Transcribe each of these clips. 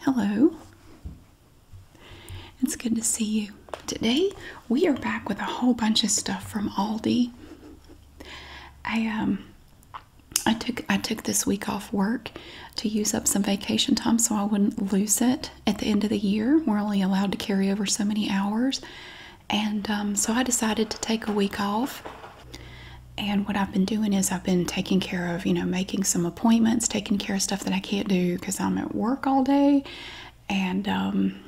Hello. It's good to see you. Today we are back with a whole bunch of stuff from Aldi. I um I took I took this week off work to use up some vacation time so I wouldn't lose it at the end of the year. We're only allowed to carry over so many hours. And um, so I decided to take a week off. And what I I've been doing is I've been taking care of, you know, making some appointments, taking care of stuff that I can't do because I'm at work all day, and um,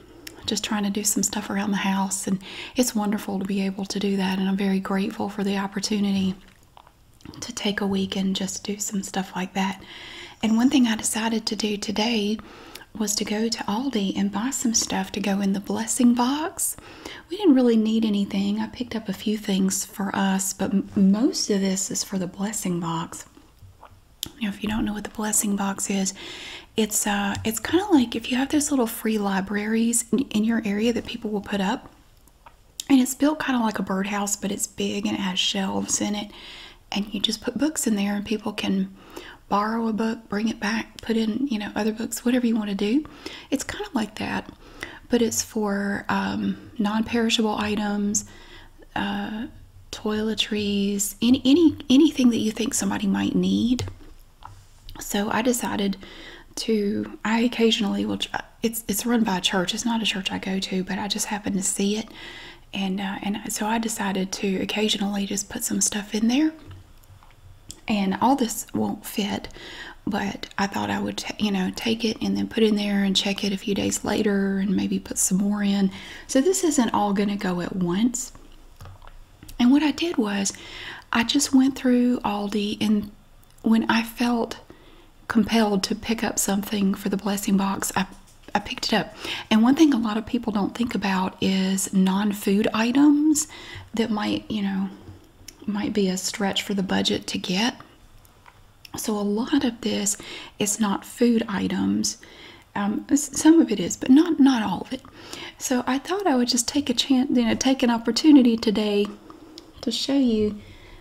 just trying to do some stuff around the house. And it's wonderful to be able to do that, and I'm very grateful for the opportunity to take a week and just do some stuff like that. And one thing I decided to do today was to go to Aldi and buy some stuff to go in the blessing box. We didn't really need anything. I picked up a few things for us, but most of this is for the blessing box. You if you don't know what the blessing box is, it's uh, it's kind of like if you have those little free libraries in your area that people will put up, and it's built kind of like a birdhouse, but it's big and it has shelves in it, and you just put books in there, and people can borrow a book, bring it back, put in you know other books, whatever you want to do. It's kind of like that. But it's for um, non-perishable items, uh, toiletries, any anything that you think somebody might need. So I decided to. I occasionally will. It's it's run by a church. It's not a church I go to, but I just happen to see it, and uh, and so I decided to occasionally just put some stuff in there. And all this won't fit, but I thought I would, you know, take it and then put in there and check it a few days later and maybe put some more in. So this isn't all going to go at once. And what I did was I just went through Aldi and when I felt compelled to pick up something for the blessing box, I I picked it up. And one thing a lot of people don't think about is non-food items that might, you know, might be a stretch for the budget to get. So, a lot of this is not food items. Um, some of it is, but not not all of it. So I thought I would just take a chance, you know, take an opportunity today to show you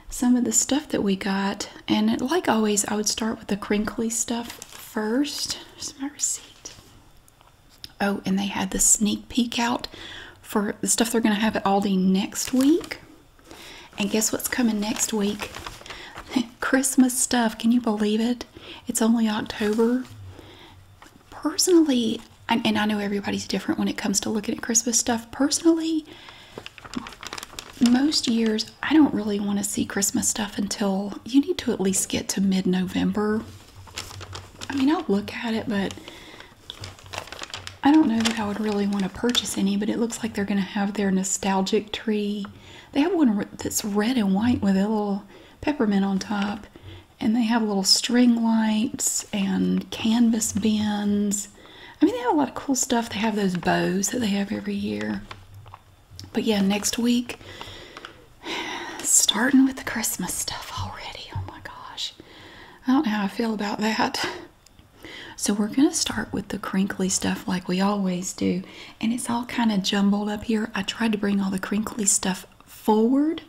some of the stuff that we got. And like always, I would start with the crinkly stuff first. Here's my receipt. Oh, and they had the sneak peek out for the stuff they're going to have at Aldi next week. And guess what's coming next week? Christmas stuff. Can you believe it? It's only October. Personally, and, I know everybody's different when it comes to looking at Christmas stuff. Personally, most years I don't really want to see Christmas stuff until you need to at least get to mid November. I mean, I'll look at it, but I don't know that I would really want to purchase any, but it looks like they're going to have their nostalgic tree. They have one that's red and white with a little peppermint on top, and they have little string lights and canvas bins. I mean, they have a lot of cool stuff. They have those bows that they have every year. But yeah, next week, starting with the Christmas stuff already. Oh my gosh. I don't know how I feel about that. So we're going to start with the crinkly stuff like we always do. And it's all kind of jumbled up here. I tried to bring all the crinkly stuff forward.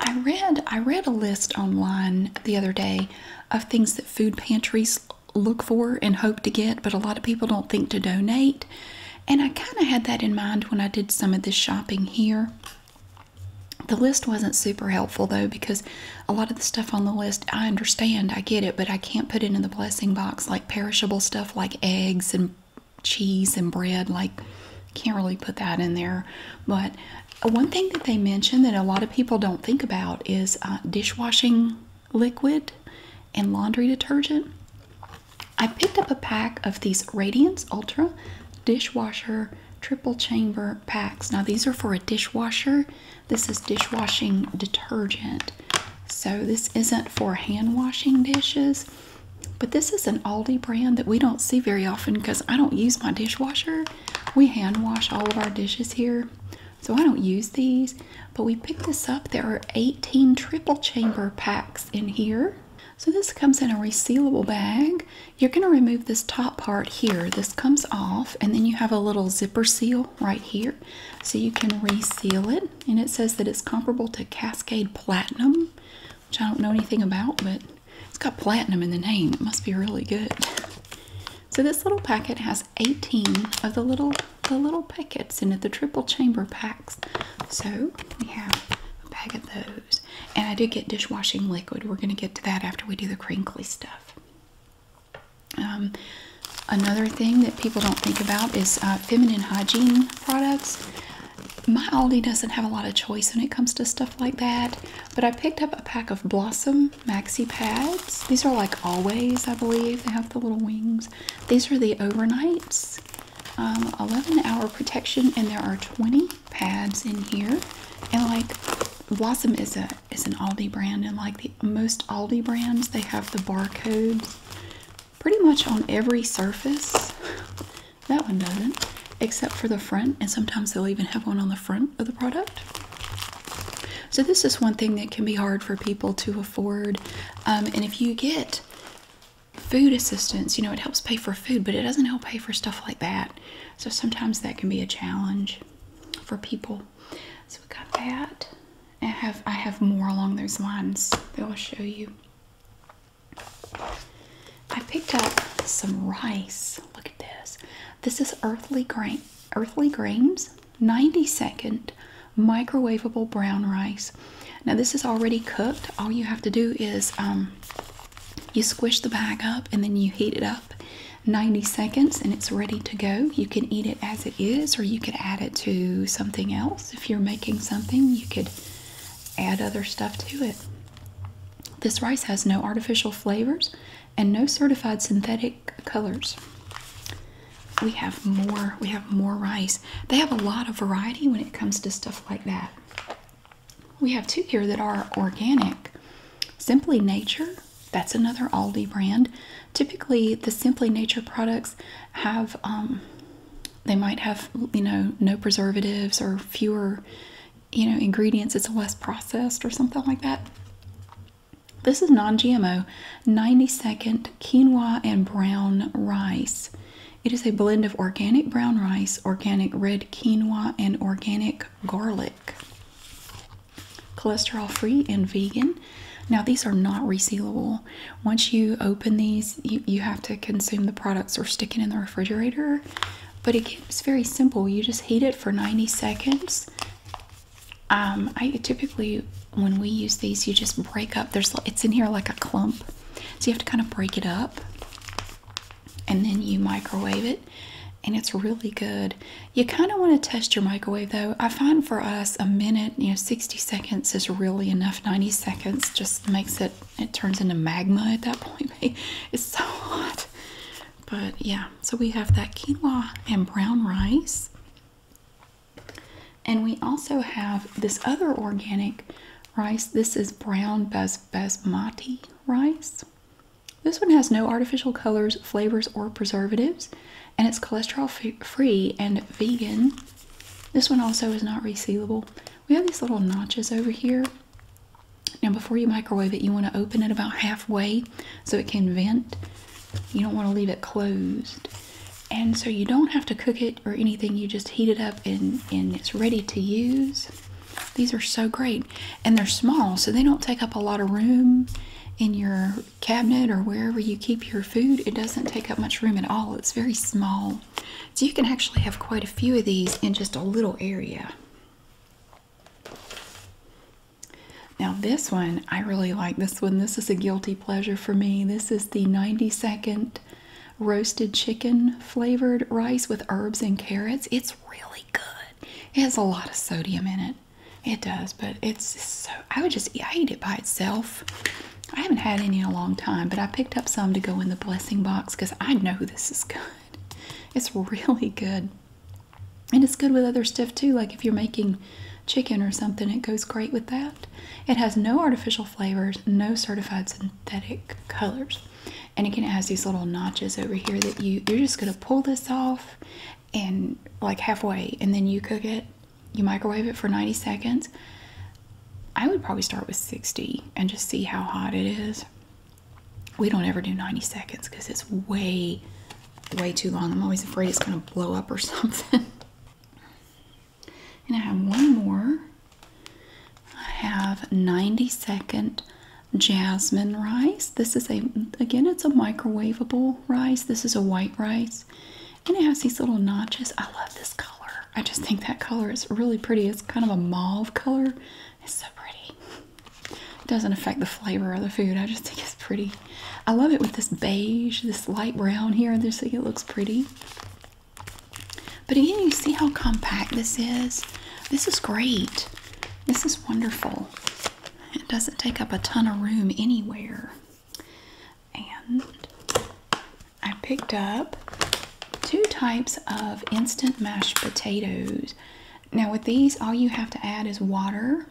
I read I read a list online the other day of things that food pantries look for and hope to get, but a lot of people don't think to donate. And I kind of had that in mind when I did some of this shopping here. The list wasn't super helpful though because a lot of the stuff on the list I understand, I get it, but I can't put it in the blessing box like perishable stuff like eggs and cheese and bread. Like, can't really put that in there. But one thing that they mentioned that a lot of people don't think about is uh, dishwashing liquid and laundry detergent. I picked up a pack of these Radiance Ultra dishwasher triple chamber packs. Now, these are for a dishwasher. This is dishwashing detergent. So, this isn't for hand washing dishes, but this is an Aldi brand that we don't see very often because I don't use my dishwasher. We hand wash all of our dishes here, so I don't use these. But we picked this up. There are 18 triple chamber packs in here. So, this comes in a resealable bag. You're going to remove this top part here. This comes off, and then you have a little zipper seal right here. So you can reseal it. And it says that it's comparable to Cascade Platinum, which I don't know anything about, but it's got platinum in the name. It must be really good. So this little packet has 18 of the little the little packets in it, the triple chamber packs. So we have a bag of those. And I did get dishwashing liquid. We're going to get to that after we do the crinkly stuff. Um, another thing that people don't think about is uh, feminine hygiene products. My Aldi doesn't have a lot of choice when it comes to stuff like that, but I picked up a pack of Blossom maxi pads. These are like always, I believe. They have the little wings. These are the overnights. Um, 11 hour protection, and there are 20 pads in here. And like Blossom is a it's an Aldi brand, and like the most Aldi brands, they have the barcodes pretty much on every surface. That one doesn't, except for the front, and sometimes they'll even have one on the front of the product. So, this is one thing that can be hard for people to afford. Um, and if you get food assistance, you know, it helps pay for food, but it doesn't help pay for stuff like that. So, sometimes that can be a challenge for people. So we got that. I have I have more along those lines that I'll show you. I picked up some rice. Look at this. This is earthly grain earthly grains 90 second microwavable brown rice. Now this is already cooked. All you have to do is um you squish the bag up and then you heat it up 90 seconds and it's ready to go. You can eat it as it is, or you could add it to something else. If you're making something, you could add other stuff to it. This rice has no artificial flavors and no certified synthetic colors. We have more, we have more rice. They have a lot of variety when it comes to stuff like that. We have two here that are organic. Simply Nature that's another Aldi brand. Typically, the Simply Nature products have, um, they might have, you know, no preservatives or fewer, you know, ingredients. It's less processed or something like that. This is non GMO 90 second quinoa and brown rice. It is a blend of organic brown rice, organic red quinoa, and organic garlic cholesterol free and vegan. Now, these are not resealable. Once you open these, you, have to consume the products or stick it in the refrigerator. But it, it's very simple. You just heat it for 90 seconds. Um, I typically, when we use these, you just break up. There's It's in here like a clump. So you have to kind of break it up. And then you microwave it and it's really good. You kind of want to test your microwave though. I find for us a minute, you know, 60 seconds is really enough. 90 seconds just makes it, it turns into magma at that point. it's so hot. But yeah, so we have that quinoa and brown rice. And we also have this other organic rice. This is brown bas basmati rice. This one has no artificial colors, flavors, or preservatives, and it's cholesterol free and vegan. This one also is not resealable. We have these little notches over here. Now, before you microwave it, you want to open it about halfway so it can vent. You don't want to leave it closed. And so you don't have to cook it or anything. You just heat it up and, and it's ready to use. These are so great. And they're small, so they don't take up a lot of room in your cabinet or wherever you keep your food. It doesn't take up much room at all. It's very small. So you can actually have quite a few of these in just a little area. Now this one, I really like this one. This is a guilty pleasure for me. This is the 90 second roasted chicken flavored rice with herbs and carrots. It's really good. It has a lot of sodium in it. It does, but it's so. I would just I eat it by itself. I haven't had any in a long time, but I picked up some to go in the blessing box because I know this is good. It's really good. And it's good with other stuff too, like if you're making chicken or something, it goes great with that. It has no artificial flavors, no certified synthetic colors. And again, it has these little notches over here that you, you're just going to pull this off and like halfway and then you cook it you microwave it for 90 seconds i would probably start with 60 and just see how hot it is we don't ever do 90 seconds because it's way way too long i'm always afraid it's going to blow up or something and i have one more i have 90 second jasmine rice this is a again it's a microwavable rice. This is a white rice. And it has these little notches. I love this color. I just think that color is really pretty. It's kind of a mauve color. It's so pretty. It doesn't affect the flavor of the food. I just think it's pretty. I love it with this beige, this light brown here. I just think it looks pretty. But again, you see how compact this is? This is great. This is wonderful. It doesn't take up a ton of room anywhere. And I picked up two types of instant mashed potatoes. Now, with these, all you have to add is water.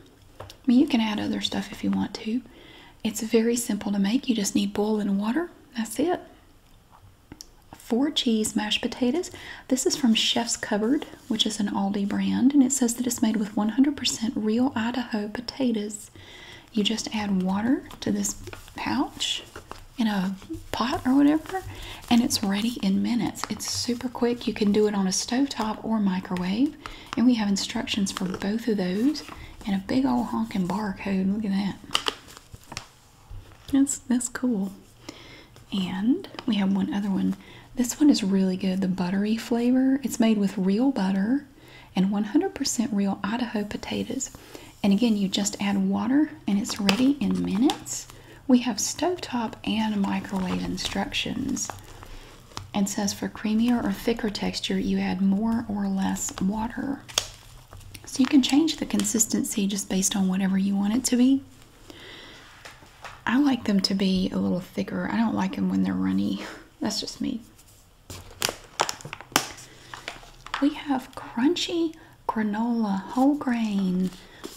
you can add other stuff if you want to. It's very simple to make. You just need boiling water. That's it. Four cheese mashed potatoes. This is from Chef's Cupboard which is an Aldi brand, and it says that it's made with 100% real Idaho potatoes. You just add water to this pouch in a pot or whatever, and it's ready in minutes. It's super quick. You can do it on a stovetop or microwave, and we have instructions for both of those and a big old honkin' barcode. Look at that. That's that's cool. And we have one other one this one is really good, the buttery flavor. It's made with real butter and 100% real Idaho potatoes. And again, you just add water and it's ready in minutes. We have stovetop and microwave instructions. And says for creamier or thicker texture, you add more or less water. So you can change the consistency just based on whatever you want it to be. I like them to be a little thicker. I don't like them when they're runny. That's just me. We have crunchy granola, whole grain.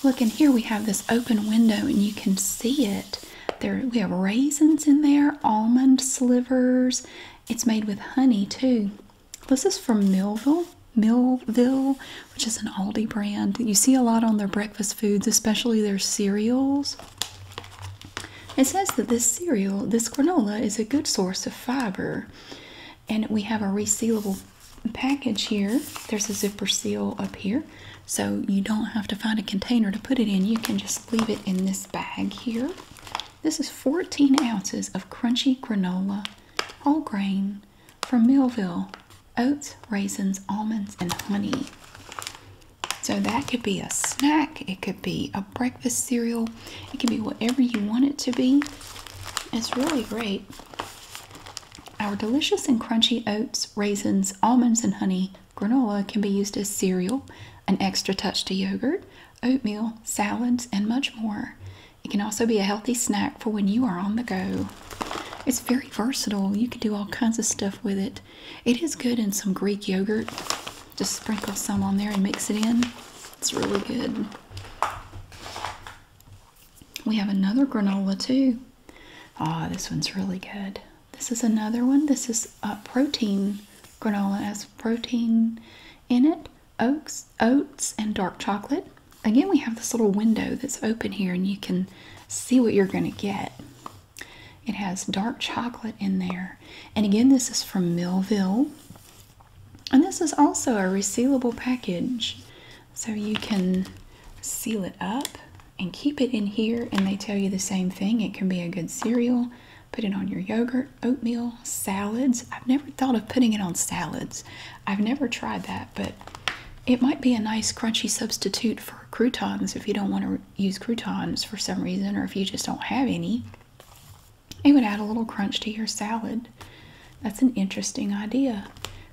Look, and here we have this open window, and you can see it. There, we have raisins in there, almond slivers. It's made with honey too. This is from Millville, Millville, which is an Aldi brand. You see a lot on their breakfast foods, especially their cereals. It says that this cereal, this granola, is a good source of fiber. And we have a resealable package here. There's a zipper seal up here. So you don't have to find a container to put it in. You can just leave it in this bag here. This is 14 ounces of crunchy granola, whole grain from Millville, oats, raisins, almonds, and honey. So that could be a snack, it could be a breakfast cereal, it could be whatever you want it to be. It's really great. Our delicious and crunchy oats, raisins, almonds, and honey granola can be used as cereal, an extra touch to yogurt, oatmeal, salads, and much more. It can also be a healthy snack for when you are on the go. It's very versatile. You can do all kinds of stuff with it. It is good in some Greek yogurt. Just sprinkle some on there and mix it in. It's really good. We have another granola too. Ah, this one's really good. This is another one. This is a protein granola. has protein in it, oats, oats, and dark chocolate. Again, we have this little window that's open here, and you can see what you're going to get. It has dark chocolate in there. And again, this is from Millville. And this is also a resealable package. So you can seal it up and keep it in here. And they tell you the same thing. It can be a good cereal. Put it on your yogurt, oatmeal, salads. I've never thought of putting it on salads. I've never tried that, but it might be a nice crunchy substitute for croutons if you don't want to use croutons for some reason, or if you just don't have any, it would add a little crunch to your salad. That's an interesting idea.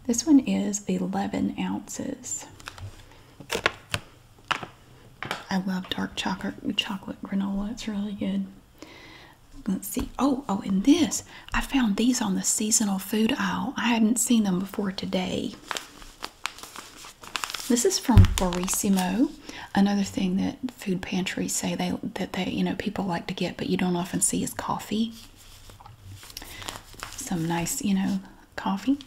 This one is 11 ounces. I love dark chocolate chocolate granola. It's really good. Let's see. Oh, oh, and this. I found these on the seasonal food aisle. I hadn't seen them before today. This is from Barissimo. Another thing that food pantries say they that they you know people like to get, but you don't often see is coffee. Some nice you know coffee.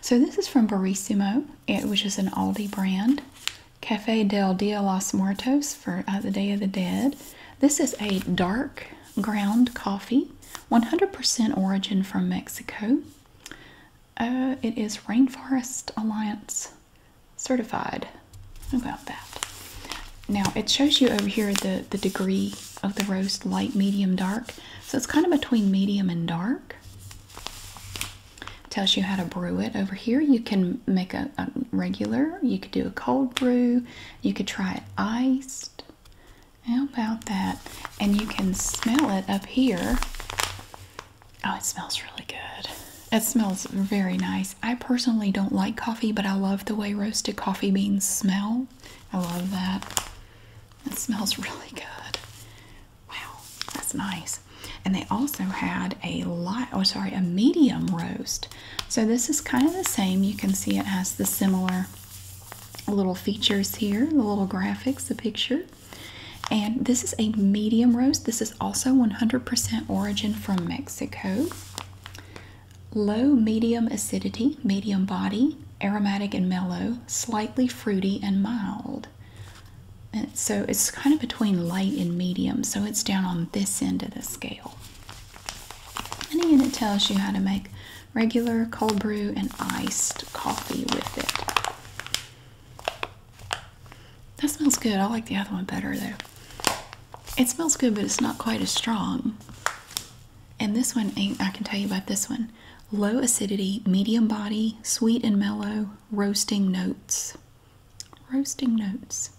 So this is from Barissimo, which is an Aldi brand. Cafe del Dia Los Muertos for uh, the Day of the Dead. This is a dark ground coffee, 100% origin from Mexico. Uh, it is Rainforest Alliance certified. How about that? Now it shows you over here the, the degree of the roast light, medium, dark. So it's kind of between medium and dark. Tells you how to brew it. Over here you can make a, a regular, you could do a cold brew, you could try it iced. How about that? and you can smell it up here. Oh, it smells really good. It smells very nice. I personally don't like coffee, but I love the way roasted coffee beans smell. I love that. It smells really good. Wow, that's nice. And they also had a light, oh sorry, a medium roast. So this is kind of the same. You can see it has the similar little features here, the little graphics, the picture. And this is a medium roast. This is also 100% origin from Mexico. Low medium acidity, medium body, aromatic and mellow, slightly fruity and mild. so it's kind of between light and medium, so it's down on this end of the scale. And again, it tells you how to make regular cold brew and iced coffee with it. That smells good. I like the other one better though. It smells good, but it's not quite as strong. And this one, I can tell you about this one. Low acidity, medium body, sweet and mellow, roasting notes. Roasting notes.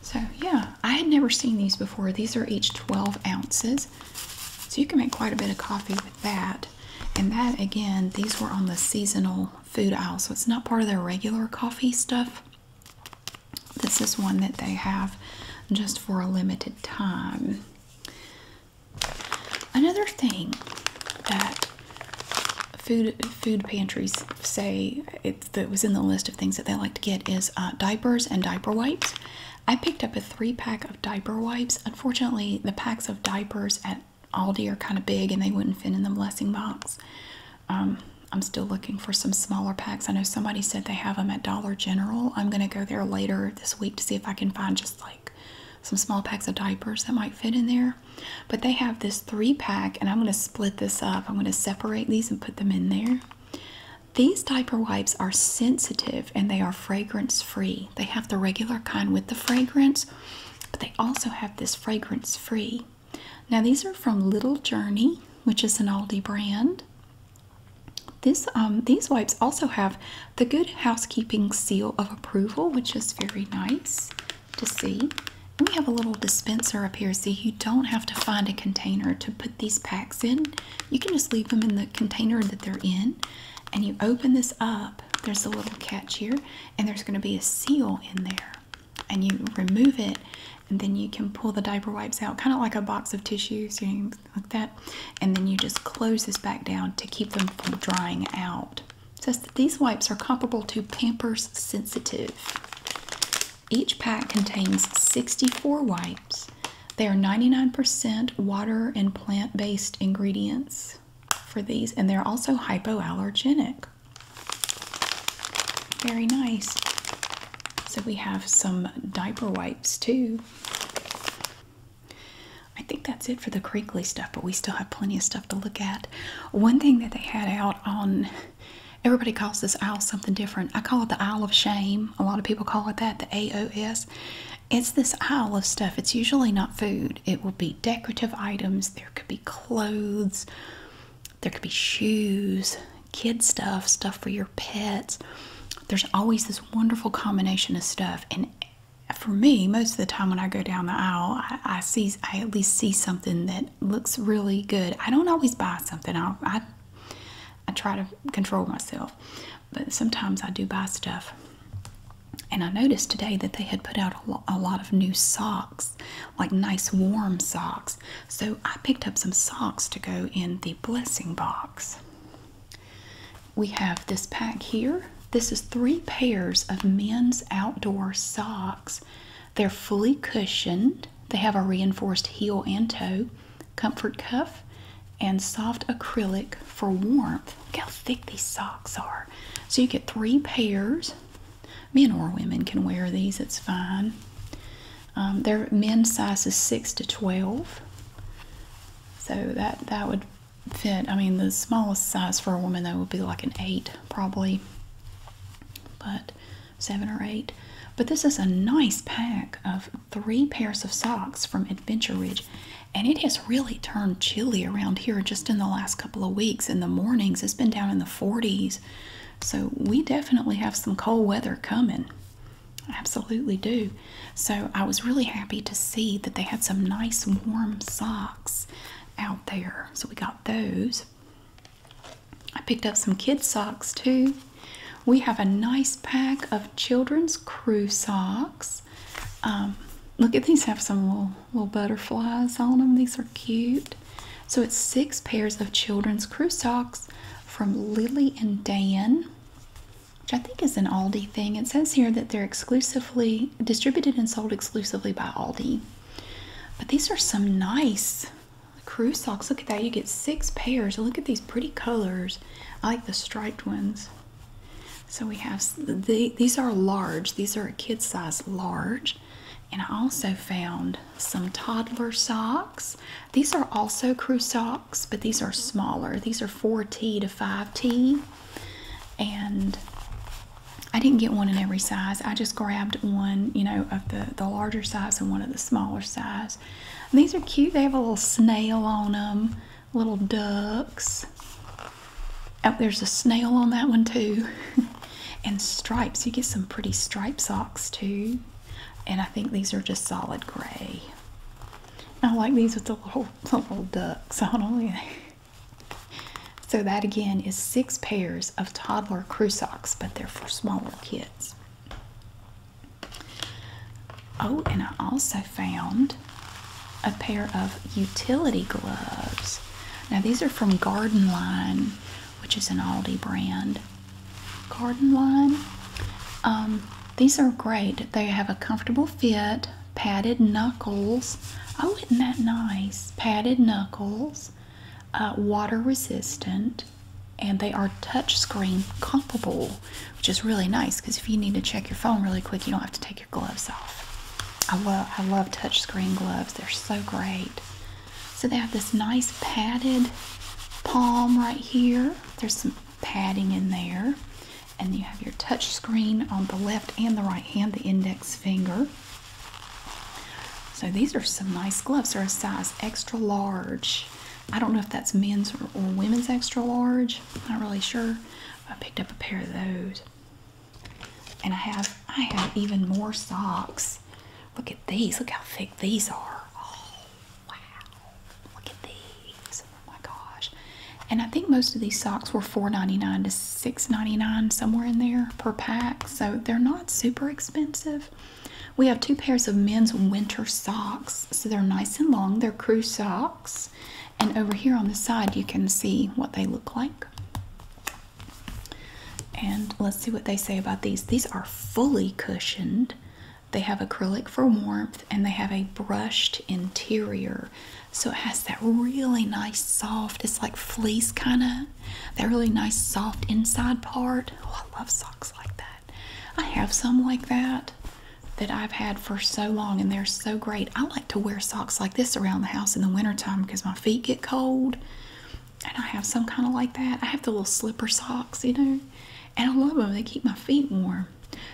So, yeah, I had never seen these before. These are each 12 ounces. So, you can make quite a bit of coffee with that. And that again, these were on the seasonal food aisle, so it's not part of their regular coffee stuff. This is one that they have just for a limited time. Another thing that food food pantries say it that was in the list of things that they like to get is uh, diapers and diaper wipes. I picked up a three pack of diaper wipes. Unfortunately, the packs of diapers at Aldi are kind of big and they wouldn't fit in the blessing box. Um, I'm still looking for some smaller packs. I know somebody said they have them at Dollar General. I'm going to go there later this week to see if I can find just like some small packs of diapers that might fit in there. But they have this three pack, and I'm going to split this up. I'm going to separate these and put them in there. These diaper wipes are sensitive and they are fragrance free. They have the regular kind with the fragrance, but they also have this fragrance free. Now, these are from Little Journey, which is an Aldi brand. This, um, these wipes also have the Good Housekeeping seal of approval, which is very nice to see. we have a little dispenser up here, so you don't have to find a container to put these packs in. You can just leave them in the container that they're in and you open this up, there's a little catch here, and there's going to be a seal in there. And you remove it, and then you can pull the diaper wipes out, kind of like a box of tissues, you know, like that. And then you just close this back down to keep them from drying out. It says that these wipes are comparable to Pampers Sensitive. Each pack contains 64 wipes. They are 99% water and plant based ingredients for these and they're also hypoallergenic. Very nice. So we have some diaper wipes too. I think that's it for the crinkly stuff, but we still have plenty of stuff to look at. One thing that they had out on everybody calls this aisle something different. I call it the aisle of shame. A lot of people call it that, the AOS. It's this aisle of stuff. It's usually not food. It would be decorative items. There could be clothes. There could be shoes, kid stuff, stuff for your pets. There's always this wonderful combination of stuff. And for me, most of the time when I go down the aisle, I, see I at least see something that looks really good. I don't always buy something. I I try to control myself, but sometimes I do buy stuff. And I noticed today that they had put out a, lot of new socks, like nice warm socks. So I picked up some socks to go in the blessing box. We have this pack here. This is three pairs of men's outdoor socks. They're fully cushioned. They have a reinforced heel and toe, comfort cuff, and soft acrylic for warmth. Look how thick these socks are. So you get three pairs. Men or women can wear these, it's fine. Um, they're men's sizes 6 to 12. So that, that would fit. I mean, the smallest size for a woman, though, would be like an 8 probably. But 7 or 8. But this is a nice pack of three pairs of socks from Adventure Ridge and it has really turned chilly around here just in the last couple of weeks in the mornings it's been down in the 40s so we definitely have some cold weather coming absolutely do so i was really happy to see that they had some nice warm socks out there so we got those i picked up some kid socks too we have a nice pack of children's crew socks um, look at these have some wool little butterflies on them. These are cute. So it's six pairs of children's crew socks from Lily and Dan, which I think is an Aldi thing. It says here that they're exclusively distributed and sold exclusively by Aldi. But these are some nice crew socks. Look at that. You get six pairs. Look at these pretty colors. I like the striped ones. So we have these are large. These are a kid size large. And I also found some toddler socks. These are also crew socks, but these are smaller. These are 4T to 5T. And I didn't get one in every size. I just grabbed one, you know, of the, the larger size and one of the smaller size. these are cute. They have a little snail on them, little ducks. Oh, there's a snail on that one too. and stripes. You get some pretty stripe socks too. And I think these are just solid gray. I like these with the little, little ducks on them. so that again is six pairs of toddler crew socks, but they're for smaller kids. Oh, and I also found a pair of utility gloves. Now, these are from Garden Line, which is an Aldi brand. Garden Line. Um, these are great. They have a comfortable fit, padded knuckles. Oh, isn't that nice? Padded knuckles, uh, water resistant, and they are touchscreen compatible, which is really nice because if you need to check your phone really quick, you don't have to take your gloves off. I love I love touch screen gloves. They're so great. So they have this nice padded palm right here. There's some padding in there. And you have your touch screen on the left and the right hand, the index finger. So these are some nice gloves. They're a size extra large. I don't know if that's men's or, or women's extra large. I'm not really sure. I picked up a pair of those. And I have I have even more socks. Look at these. Look how thick these are. Oh wow. Look at these. Oh my gosh. And I think most of these socks were $4.99 to $6.99, somewhere in there per pack. So they're not super expensive. We have two pairs of men's winter socks. So they're nice and long. They're crew socks. And over here on the side, you can see what they look like. And let's see what they say about these. These are fully cushioned. They have acrylic for warmth and they have a brushed interior. So it has that really nice soft, it's like fleece kind of, that really nice soft inside part. Oh, I love socks like that. I have some like that that I've had for so long and they're so great. I like to wear socks like this around the house in the wintertime because my feet get cold. And I have some kind of like that. I have the little slipper socks, you know, and I love them. They keep my feet warm.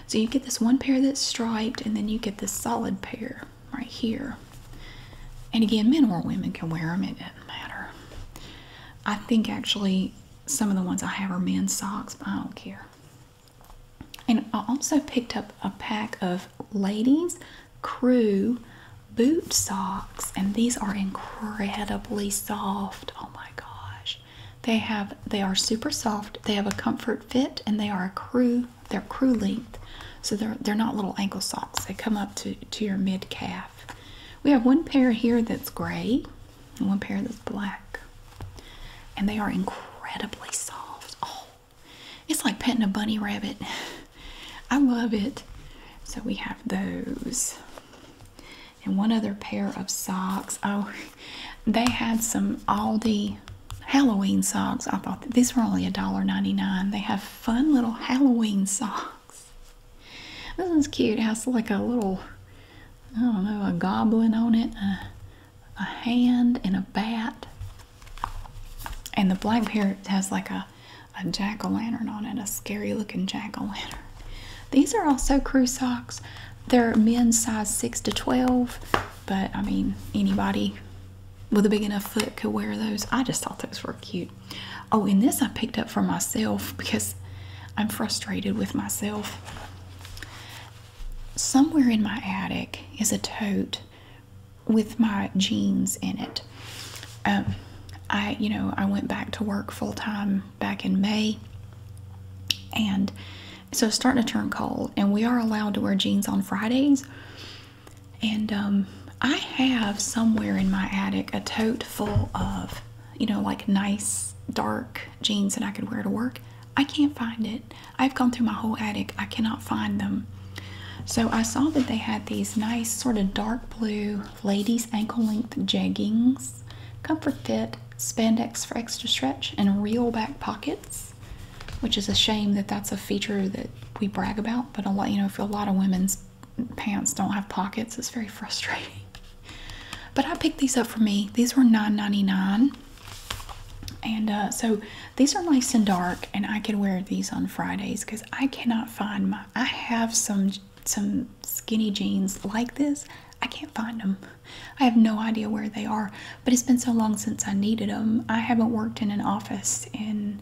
So you get this one pair that's striped, and then you get this solid pair right here. And again, men or women can wear them, it doesn't matter. I think actually some of the ones I have are men's socks, but I don't care. And I also picked up a pack of ladies' crew boot socks and these are incredibly soft oh my gosh they have they are super soft they have a comfort fit and they are a crew they're crew length so they're they're not little ankle socks they come up to to your mid calf we have one pair here that's gray and one pair that's black and they are incredibly soft oh it's like petting a bunny rabbit. I love it. So we have those. And one other pair of socks. Oh, they had some Aldi Halloween socks. I thought these were only a dollar ninety-nine. They have fun little Halloween socks. This one's cute. It has like a little, I don't know, a goblin on it, a hand, and a bat. And the black parrot has like a, a jack o' lantern on it, a scary looking jack o' lantern. These are also crew socks. They're men's size 6 to 12, but I mean, anybody with a big enough foot could wear those. I just thought those were cute. Oh, and this I picked up for myself because I'm frustrated with myself. Somewhere in my attic is a tote with my jeans in it. Um, I, you know, I went back to work full time back in May, and so it's starting to turn cold. And we are allowed to wear jeans on Fridays. And um, I have somewhere in my attic a tote full of, you know, like nice dark jeans that I could wear to work. I can't find it. I've gone through my whole attic. I cannot find them. So I saw that they had these nice sort of dark blue ladies ankle length jeggings, comfort fit, spandex for extra stretch, and real back pockets, which is a shame that that's a feature that we brag about. But a lot, you know, a lot of women's pants don't have pockets, it's very frustrating. But I picked these up for me. These were $9.99. And uh, so these are nice and dark, and I could wear these on Fridays because I cannot find my I have some some skinny jeans like this. I can't find them. I have no idea where they are, but it's been so long since I needed them. I haven't worked in an office in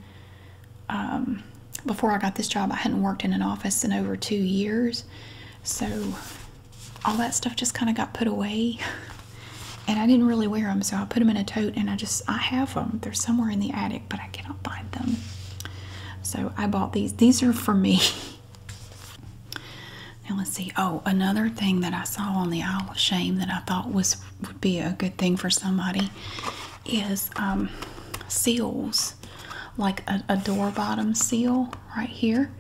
um, before I got this job, I hadn't worked in an office in over 2 years. So all that stuff just kind of got put away. And I didn't really wear them, so I put them in a tote and I just I have them. They're somewhere in the attic, but I cannot find them. So I bought these. These are for me. now let's see. Oh, another thing that I saw on the Isle of Shame that I thought was would be a good thing for somebody is um, seals, like a, door bottom seal right here.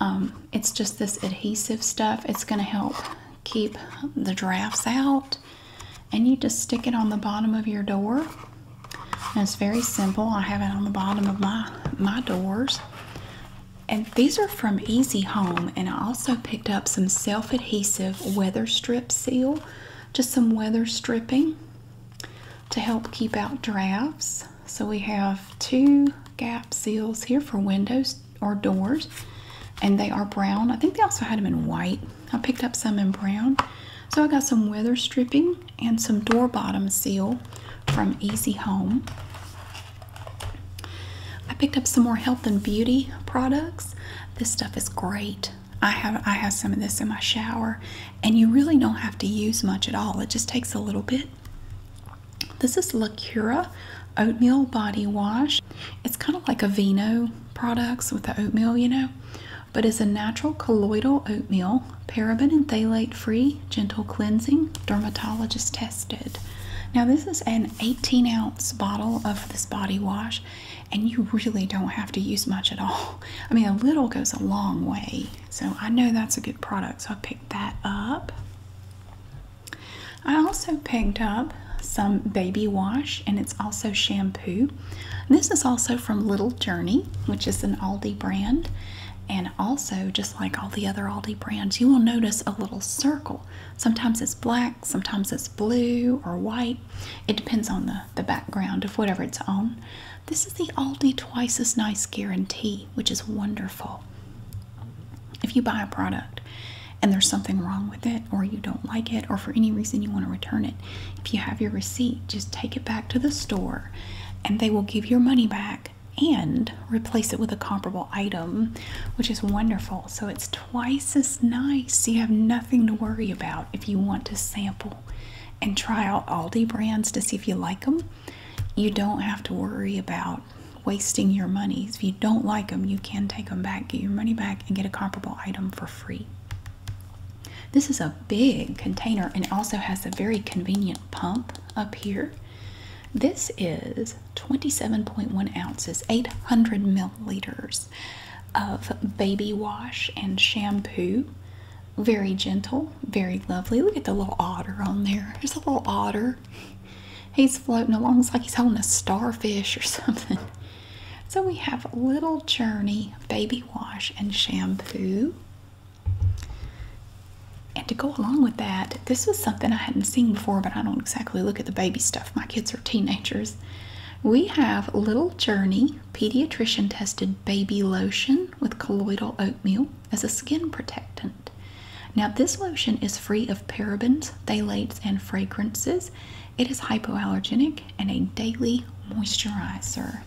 Um, it's just this adhesive stuff. It's going to help keep the drafts out and you just stick it on the bottom of your door it's very simple i have it on the bottom of my my doors and these are from easy home and i also picked up some self-adhesive weather strip seal just some weather stripping to help keep out drafts so we have two gap seals here for windows or doors and they are brown i think they also had them in white I picked up some in brown. So I got some weather stripping and some door bottom seal from Easy Home. I picked up some more health and beauty products. This stuff is great. I have I have some of this in my shower and you really don't have to use much at all. It just takes a little bit. This is La Cura Oatmeal Body Wash it's kind of like Aveeno products with the oatmeal, you know, but it's a natural colloidal oatmeal, paraben and phthalate free, gentle cleansing, dermatologist tested. Now, this is an 18 ounce bottle of this body wash, and you really don't have to use much at all. I mean, a little goes a long way, so I know that's a good product, so I picked that up. I also picked up some baby wash and it's also shampoo. This is also from Little Journey, which is an Aldi brand. And also, just like all the other Aldi brands, you will notice a little circle. Sometimes it's black, sometimes it's blue or white. It depends on the, the background of whatever it's on. This is the Aldi Twice as Nice Guarantee, which is wonderful. If you buy a product and there's something wrong with it or you don't like it or for any reason you want to return it if you have your receipt just take it back to the store and they will give your money back and replace it with a comparable item which is wonderful so it's twice as nice you have nothing to worry about if you want to sample and try out aldi brands to see if you like them you don't have to worry about wasting your money if you don't like them you can take them back get your money back and get a comparable item for free this is a big container and also has a very convenient pump up here. This is 27.1 ounces, 800 milliliters of baby wash and shampoo. Very gentle, very lovely. Look at the little otter on there. There's a little otter. He's floating along. It's like he's holding a starfish or something. So we have Little Journey Baby Wash and Shampoo. And to go along with that, this was something I hadn't seen before, but I don't exactly look at the baby stuff. My kids are teenagers. We have Little Journey Pediatrician Tested Baby Lotion with Colloidal Oatmeal as a skin protectant. Now, this lotion is free of parabens, phthalates, and fragrances. It is hypoallergenic and a daily moisturizer.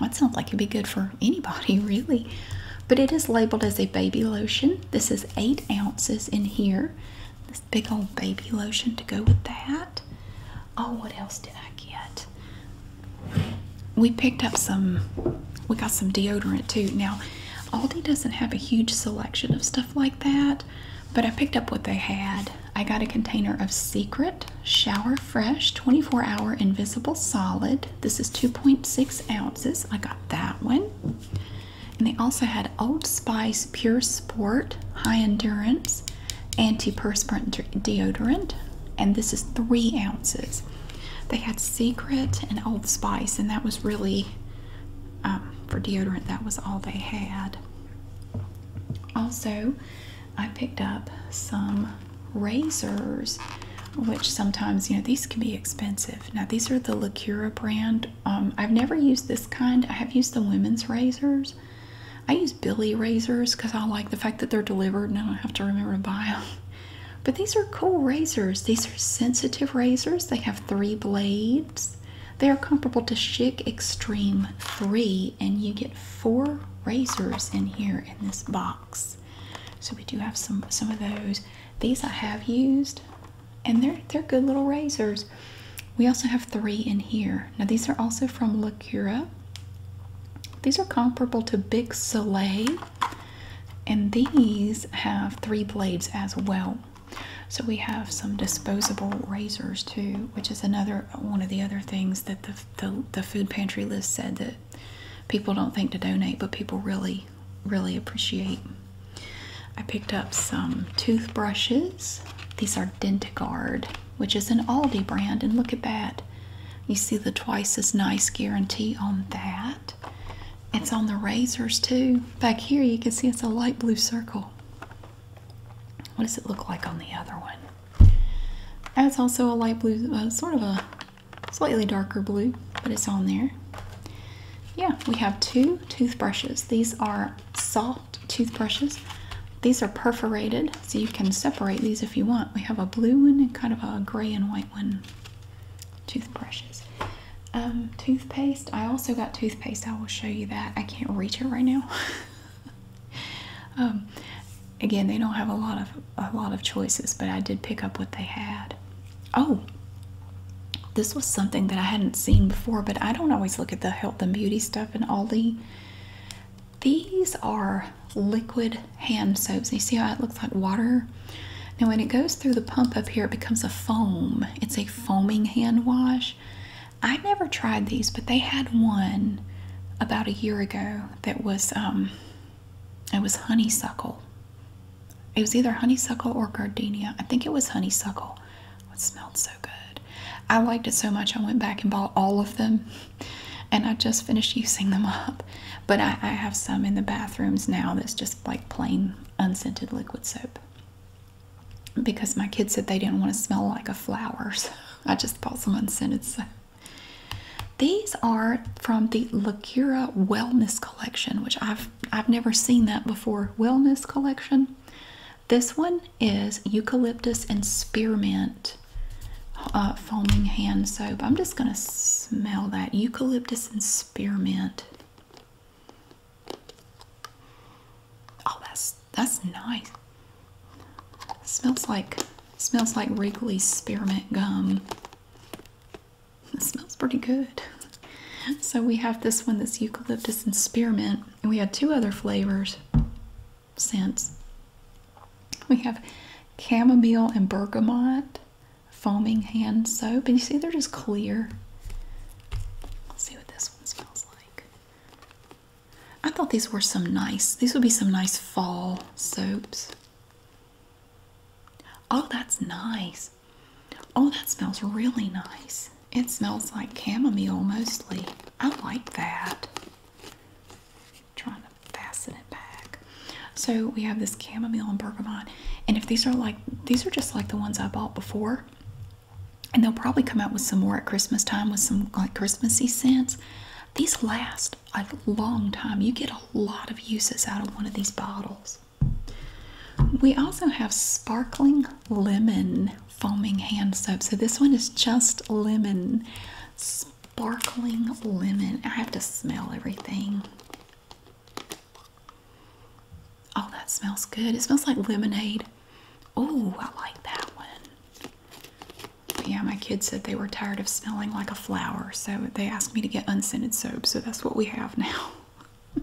That sounds like it'd be good for anybody, really. But it is labeled as a baby lotion. This is eight ounces in here. This big old baby lotion to go with that. Oh, what else did I get? We picked up some, we got some deodorant too. Now, Aldi doesn't have a huge selection of stuff like that but I picked up what they had. I got a container of Secret Shower Fresh 24 Hour Invisible Solid. This is 2.6 ounces. I got that one. And they also had Old Spice Pure Sport High Endurance Anti-Perspirant Deodorant, and this is three ounces. They had Secret and Old Spice, and that was really um, for deodorant, that was all they had. Also, I picked up some razors, which sometimes, you know, these can be expensive. Now, these are the Lacura brand. Um, I've never used this kind. I have used the women's razors. I use Billy razors because I like the fact that they're delivered and I don't have to remember to buy them. But these are cool razors. These are sensitive razors. They have three blades. They are comparable to Chic Extreme 3, and you get four razors in here in this box. So we do have some some of those. These I have used, and they're they're good little razors. We also have three in here. Now these are also from La Cura. These are comparable to Big Soleil, and these have three blades as well. So we have some disposable razors too, which is another one of the other things that the the, food pantry list said that people don't think to donate, but people really really appreciate. I picked up some toothbrushes. These are DentaGuard, which is an Aldi brand, and look at that. You see the twice as nice guarantee on that. It's on the razors too. Back here you can see it's a light blue circle. What does it look like on the other one? That's also a light blue, uh, sort of a slightly darker blue, but it's on there. Yeah, we have two toothbrushes. These are soft toothbrushes. These are perforated, so you can separate these if you want. We have a blue one and kind of a gray and white one. Toothbrushes. Um, toothpaste. I also got toothpaste. I will show you that. I can't reach it right now. Um, again, they don't have a lot of a lot of choices, but I did pick up what they had. Oh, this was something that I hadn't seen before, but I don't always look at the health and beauty stuff in Aldi. These are liquid hand soaps. You see how it looks like water? Now, when it goes through the pump up here, it becomes a foam. It's a foaming hand wash. I never tried these, but they had one about a year ago that was um it was honeysuckle. It was either honeysuckle or gardenia. I think it was honeysuckle. It smelled so good. I liked it so much I went back and bought all of them and I just finished using them up. But I, I have some in the bathrooms now that's just like plain unscented liquid soap because my kids said they didn't want to smell like a flower. So I just bought some unscented. So. These are from the Lacura Wellness Collection, which I've I've never seen that before. Wellness Collection. This one is eucalyptus and spearmint uh, foaming hand soap. I'm just gonna smell that eucalyptus and spearmint. Oh, that's that's nice. Smells like smells like Wrigley's spearmint gum. It smells pretty good. So we have this one that's eucalyptus and spearmint, and we had two other flavors scents. We have chamomile and bergamot, foaming hand soap, and you see they're just clear. Let's see what this one smells like. I thought these were some nice, these would be some nice fall soaps. Oh, that's nice. Oh, that smells really nice. It smells like chamomile mostly. I like that. Trying to fasten it back. So we have this chamomile and bergamot. And if these are like, these are just like the ones I bought before and they'll probably come out with some more at Christmas time with some like Christmassy scents. These last a long time. You get a lot of uses out of one of these bottles. We also have sparkling lemon foaming hand soap. So this one is just lemon. Sparkling lemon. I have to smell everything. Oh, that smells good. It smells like lemonade. Oh, I like that one. Yeah, my kids said they were tired of smelling like a flower, so they asked me to get unscented soap, so that's what we have now.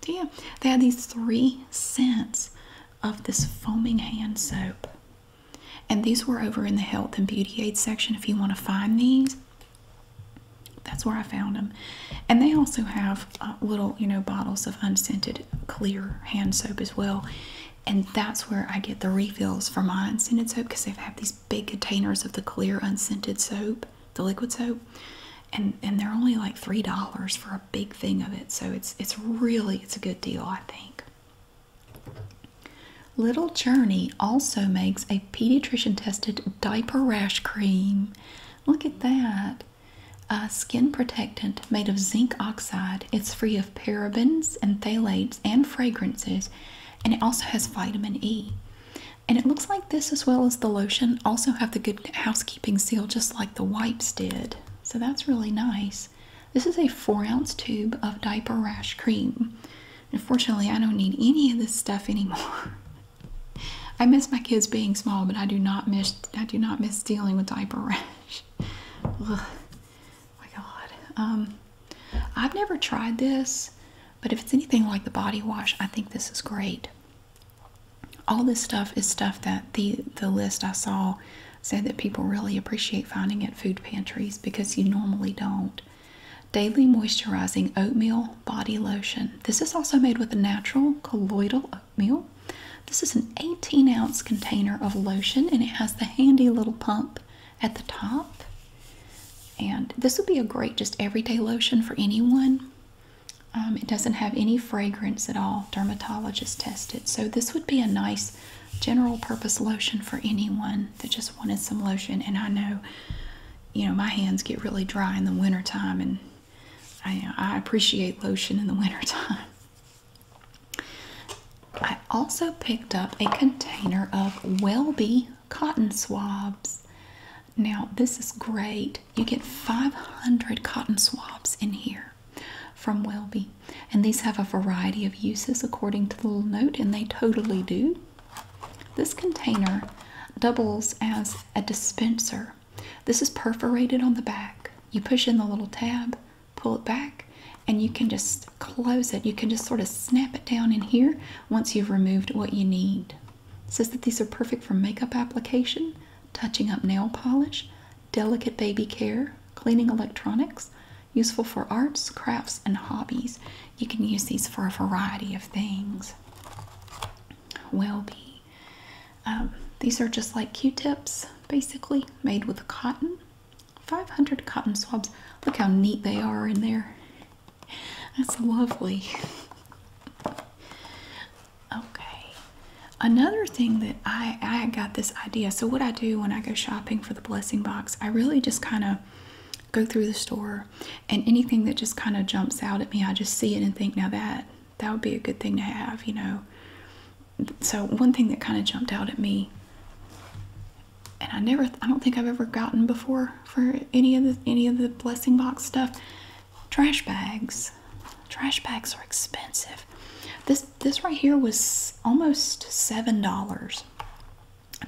Damn, they had these three scents of this foaming hand soap. And these were over in the health and beauty aid section if you want to find these. That's where I found them. And they also have uh, little, you know, bottles of unscented clear hand soap as well and that's where I get the refills for my unscented soap because they have these big containers of the clear unscented soap, the liquid soap, and and they're only like three dollars for a big thing of it. So it's it's really it's a good deal, I think. Little Journey also makes a pediatrician tested diaper rash cream. Look at that a skin protectant made of zinc oxide. It's free of parabens and phthalates and fragrances, and it also has vitamin E. And it looks like this, as well as the lotion, also have the good housekeeping seal, just like the wipes did. So that's really nice. This is a four ounce tube of diaper rash cream. Unfortunately, I don't need any of this stuff anymore. I miss my kids being small, but I do not miss I do not miss dealing with diaper rash. my god. Um, I've never tried this, but if it's anything like the body wash, I think this is great. All this stuff is stuff that the the list I saw said that people really appreciate finding at food pantries because you normally don't. Daily moisturizing oatmeal body lotion. This is also made with a natural colloidal oatmeal this is an 18 ounce container of lotion and it has the handy little pump at the top. And this would be a great just everyday lotion for anyone. Um, it doesn't have any fragrance at all, dermatologist tested. So this would be a nice general purpose lotion for anyone that just wanted some lotion. And I know, you know, my hands get really dry in the wintertime and I, I appreciate lotion in the wintertime. I also picked up a container of Welby cotton swabs. Now, this is great. You get 500 cotton swabs in here from Welby, and these have a variety of uses according to the little note, and they totally do. This container doubles as a dispenser. This is perforated on the back. You push in the little tab, pull it back, and you can just close it. You can just sort of snap it down in here once you've removed what you need. says that these are perfect for makeup application, touching up nail polish, delicate baby care, cleaning electronics, useful for arts, crafts, and hobbies. You can use these for a variety of things. Well-be. Um, these are just like Q-tips, basically, made with cotton. 500 cotton swabs. Look how neat they are in there. That's lovely. Okay. Another thing that I, I got this idea. So, what I do when I go shopping for the blessing box, I really just kind of go through the store and anything that just kind of jumps out at me, I just see it and think, now that that would be a good thing to have, you know so one thing that kind of jumped out at me and I never I don't think I've ever gotten before for any of the any of the blessing box stuff trash bags trash bags are expensive this this right here was almost seven dollars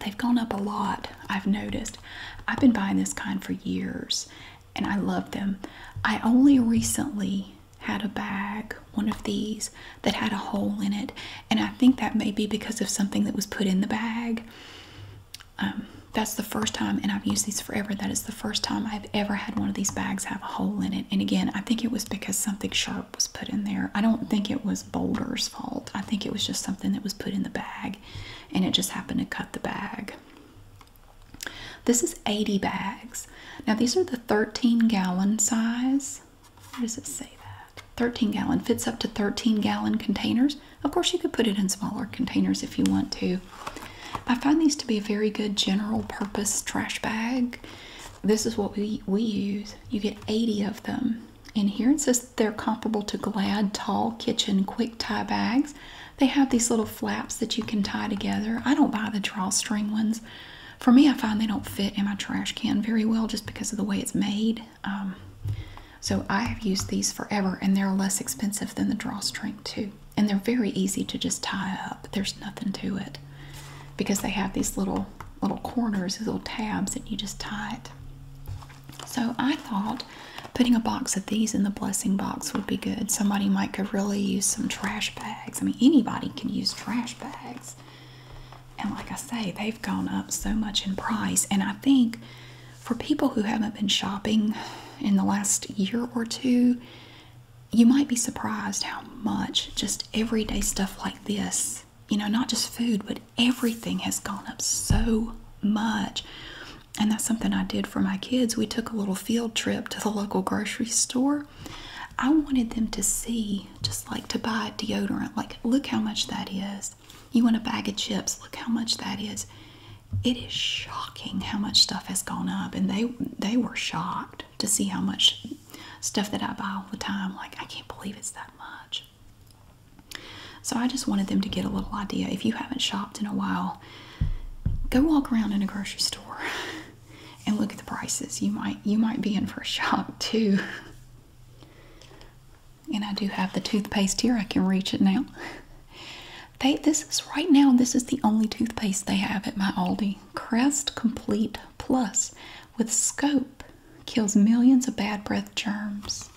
they've gone up a lot I've noticed I've been buying this kind for years and I love them I only recently had a bag, one of these, that had a hole in it. And I think that may be because of something that was put in the bag. Um, that's the first time, and I've used these forever. That is the first time I've ever had one of these bags have a hole in it. And again, I think it was because something sharp was put in there. I don't think it was Boulder's fault. I think it was just something that was put in the bag, and it just happened to cut the bag. This is 80 bags. Now, these are the 13 gallon size. What does it say that? 13 gallon fits up to 13 gallon containers. Of course, you could put it in smaller containers if you want to. I find these to be a very good general purpose trash bag. This is what we, we use. You get 80 of them. And here it says they're comparable to Glad Tall Kitchen Quick Tie bags. They have these little flaps that you can tie together. I don't buy the drawstring ones. For me, I find they don't fit in my trash can very well just because of the way it's made. Um, so I have used these forever, and they're less expensive than the drawstring too. And they're very easy to just tie up. There's nothing to it because they have these little little corners, these little tabs, and you just tie it. So I thought putting a box of these in the blessing box would be good. Somebody might could really use some trash bags. I mean, anybody can use trash bags. And like I say, they've gone up so much in price. And I think for people who haven't been shopping in the last year or two, you might be surprised how much just everyday stuff like this, you know, not just food, but everything has gone up so much. And that's something I did for my kids. We took a little field trip to the local grocery store I wanted them to see just like to buy deodorant. Like, look how much that is. You want a bag of chips, look how much that is. It is shocking how much stuff has gone up, and they they were shocked to see how much stuff that I buy all the time. Like, I can't believe it's that much. So I just wanted them to get a little idea. If you haven't shopped in a while, go walk around in a grocery store. and look at the prices. You might you might be in for a shock too. And I do have the toothpaste here. I can reach it now. They this is right now. This is the only toothpaste they have at my Aldi. Crest Complete Plus with Scope kills millions of bad breath germs.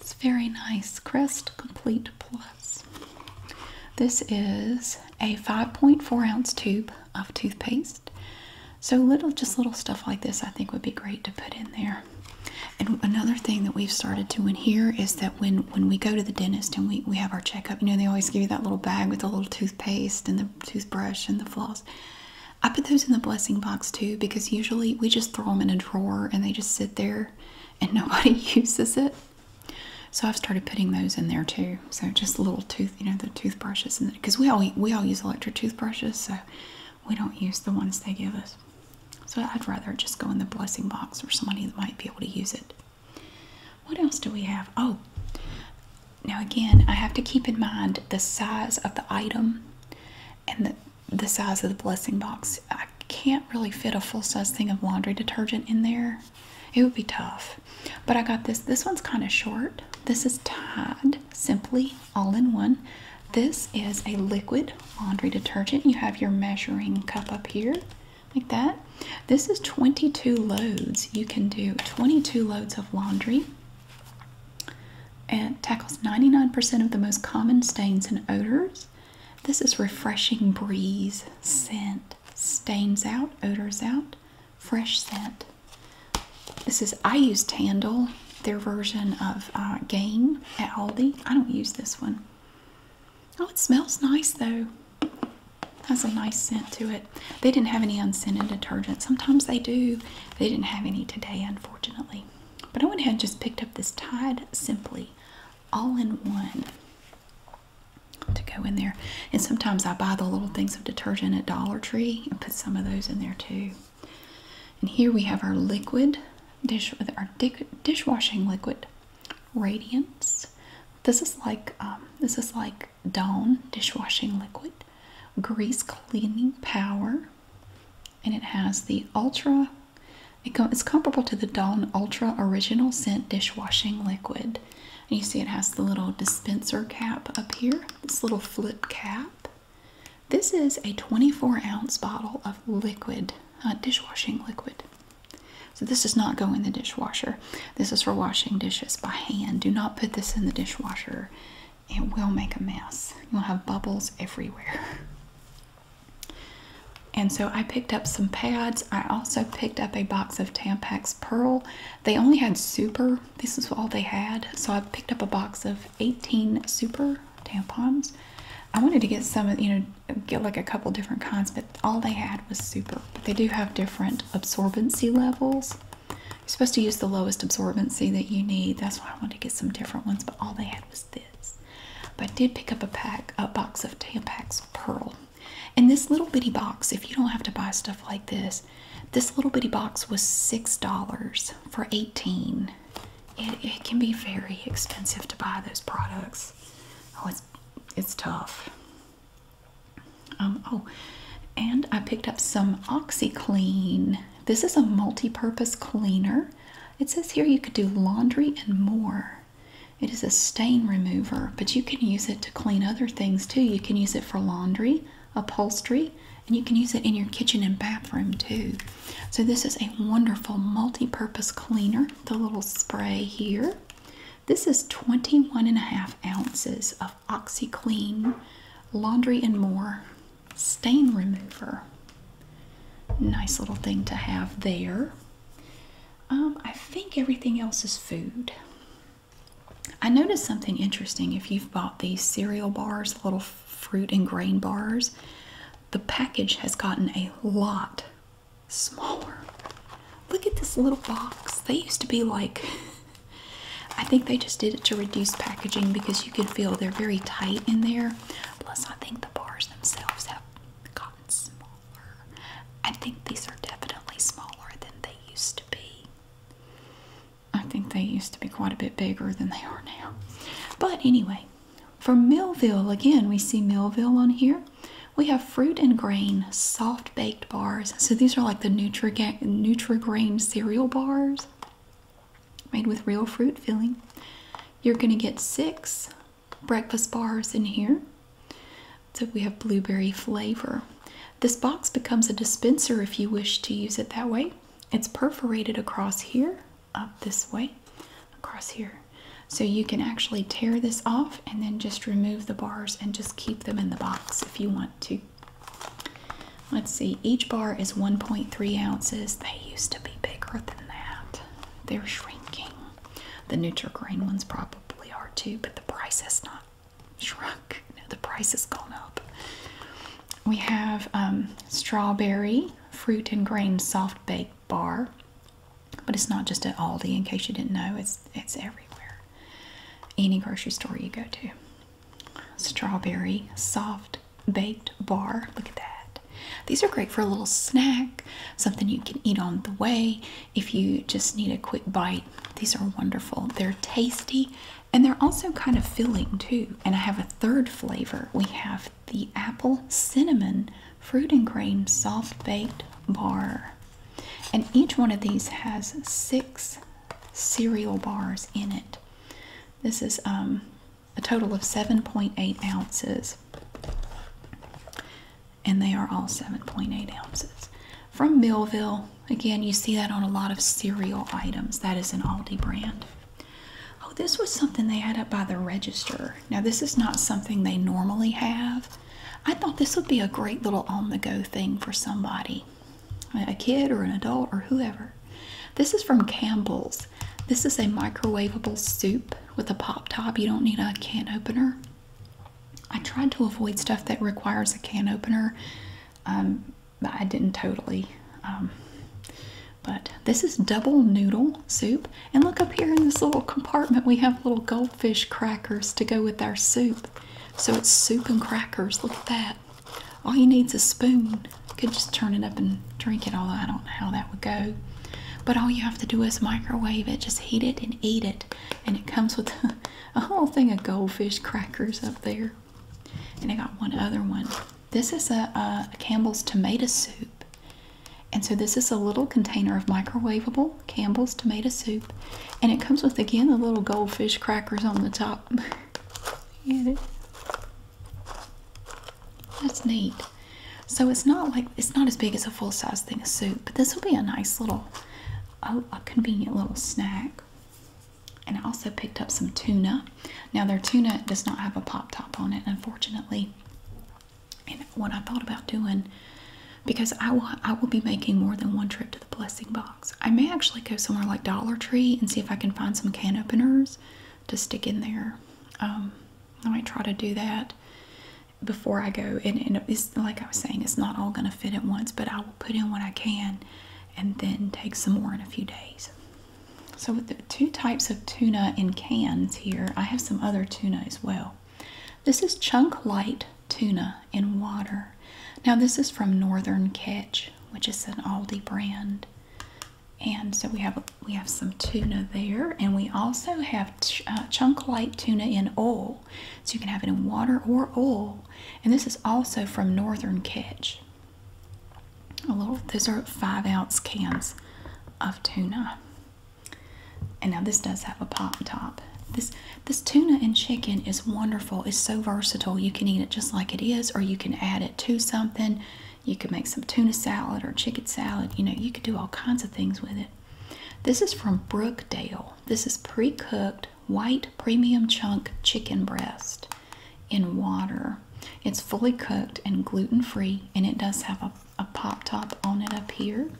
It's very nice. Crest Complete Plus. This is a 5.4 ounce tube of toothpaste. So little, just little stuff like this I think would be great to put in there. And another thing that we've started doing here is that when, when we go to the dentist and we, we have our checkup, you know, they always give you that little bag with the little toothpaste and the toothbrush and the floss. I put those in the blessing box too because usually we just throw them in a drawer and they just sit there and nobody uses it. So I've started putting those in there too. So just little tooth, you know, the toothbrushes, and because we all we all use electric toothbrushes, so we don't use the ones they give us. So I'd rather just go in the blessing box for somebody that might be able to use it. What else do we have? Oh, now again, I have to keep in mind the size of the item and the the size of the blessing box. I can't really fit a full size thing of laundry detergent in there. It would be tough. But I got this. This one's kind of short. This is Tide Simply All in One. This is a liquid laundry detergent. You have your measuring cup up here, like that. This is 22 loads. You can do 22 loads of laundry. It tackles 99% of the most common stains and odors. This is refreshing breeze scent. Stains out, odors out fresh scent. This is I use Tandle, their version of uh, Gain at Aldi. I don't use this one. Oh, it smells nice though. Has a nice scent to it. They didn't have any unscented detergent. Sometimes they do. They didn't have any today, unfortunately. But I went ahead and just picked up this Tide Simply all in one to go in there. And sometimes I buy the little things detergent at Dollar Tree and put some of those in there too. And here we have our liquid dish with our dishwashing liquid, Radiance. This is like um, this is like Dawn dishwashing liquid, grease cleaning power, and it has the ultra. it's comparable to the Dawn Ultra Original Scent dishwashing liquid. And you see it has the little dispenser cap up here, this little flip cap. This is a 24 ounce bottle of liquid, uh, dishwashing liquid. So, this does not go in the dishwasher. This is for washing dishes by hand. Do not put this in the dishwasher, it will make a mess. You'll have bubbles everywhere. And so I picked up some pads. I also picked up a box of Tampax Pearl. They only had super. This is all they had. So I picked up a box of 18 super tampons. I wanted to get some, you know, get like a couple different kinds, but all they had was super. But they do have different absorbency levels. You're supposed to use the lowest absorbency that you need. That's why I wanted to get some different ones, but all they had was this. But I did pick up a pack, a box of Tampax Pearl. And this little bitty box, if you don't have to buy stuff like this, this. little bitty box was $6 for 18 it, can be very expensive to buy those products. Oh, it's it's tough. Um, oh, and I picked up some OxyClean. This is a multi-purpose cleaner. It says here you could do laundry and more. It is a stain remover, but you can use it to clean other things too. You can use it for laundry, upholstery, and you can use it in your kitchen and bathroom too. So, this is a wonderful multi purpose cleaner, the little spray here. This is 21 and a half ounces of OxyClean Laundry and More Stain Remover. Nice little thing to have there. Um, I think everything else is food. I noticed something interesting. If you've bought these cereal bars, little fruit and grain bars, the package has gotten a lot smaller. Look at this little box. They used to be like, I think they just did it to reduce packaging because you could feel they're very tight in there. Plus, I think the bars themselves have gotten smaller. I think these are definitely smaller than they used to be. I think they used to be quite a bit bigger than they are now. But anyway, from Millville, again, we see Millville on here. We have fruit and grain, soft baked bars. So these are like the Nutri-Grain cereal bars made with real fruit filling. You're going to get six breakfast bars in here. So we have blueberry flavor. This box becomes a dispenser if you wish to use it that way. It's perforated across here, up this way, across here. So you can actually tear this off and then just remove the bars and just keep them in the box if you want to. Let's see, each bar is 1.3 ounces. They used to be bigger than that. They're shrinking. The neutral grain ones probably are too, but the price has not shrunk the price has gone up. We have um, strawberry fruit and grain soft baked bar, but it's not just at Aldi. In case you didn't know, it's it's everywhere. Any grocery store you go to. Strawberry soft baked bar. Look at that. These are great for a little snack, something you can eat on the way. If you just need a quick bite, these are wonderful. They're tasty. And they're also kind of filling too. And I have a third flavor. We have the apple cinnamon fruit and grain soft baked bar. And each one of these has six cereal bars in it. This is um, a total of 7.8 ounces. And they are all 7.8 ounces. From Millville, again, you see that on a lot of cereal items. That is an Aldi brand. Oh, this was something they had up by the register. Now, this is not something they normally have. I thought this would be a great little on the go thing for somebody a kid or an adult or whoever. This is from Campbell's. This is a microwavable soup with a pop top. You don't need a can opener. I tried to avoid stuff that requires a can opener. Um, I didn't totally. Um, but this is double noodle soup. And look up here in this little compartment, we have little goldfish crackers to go with our soup. So it's soup and crackers. Look at that. All you need is a spoon. You could just turn it up and drink it, although I don't know how that would go. But all you have to do is microwave it, just heat it and eat it. And it comes with a whole thing of goldfish crackers up there. And I got one other one. This is a, Campbell's tomato soup. And so this is a little container of microwavable Campbell's tomato soup. And it comes with, again, the little goldfish crackers on the top. Get it? That's neat. So it's not like, it's not as big as a full-size thing of soup, but this will be a nice little, a convenient little snack. And I also picked up some tuna. Now, their tuna does not have a pop top on it, unfortunately. And what I thought about doing, because I will, I will be making more than one trip to the blessing box. I may actually go somewhere like Dollar Tree and see if I can find some can openers to stick in there. Um, I might try to do that before I go. And, and it's like I was saying, it's not all going to fit at once, but I will put in what I can and then take some more in a few days. So with the two types of tuna in cans here, I have some other tuna as well. This is chunk light tuna in water. Now this is from Northern Catch, which is an Aldi brand. And so we have we have some tuna there, and we also have uh, chunk light tuna in oil, so you can have it in water or oil. And this is also from Northern Catch a little these are five ounce cans of tuna and now this does have a pop top this this tuna and chicken is wonderful it's so versatile you can eat it just like it is or you can add it to something you can make some tuna salad or chicken salad you know you could do all kinds of things with it this is from brookdale this is pre-cooked white premium chunk chicken breast in water. It's fully cooked and gluten free, and it does have a, pop top on it up here.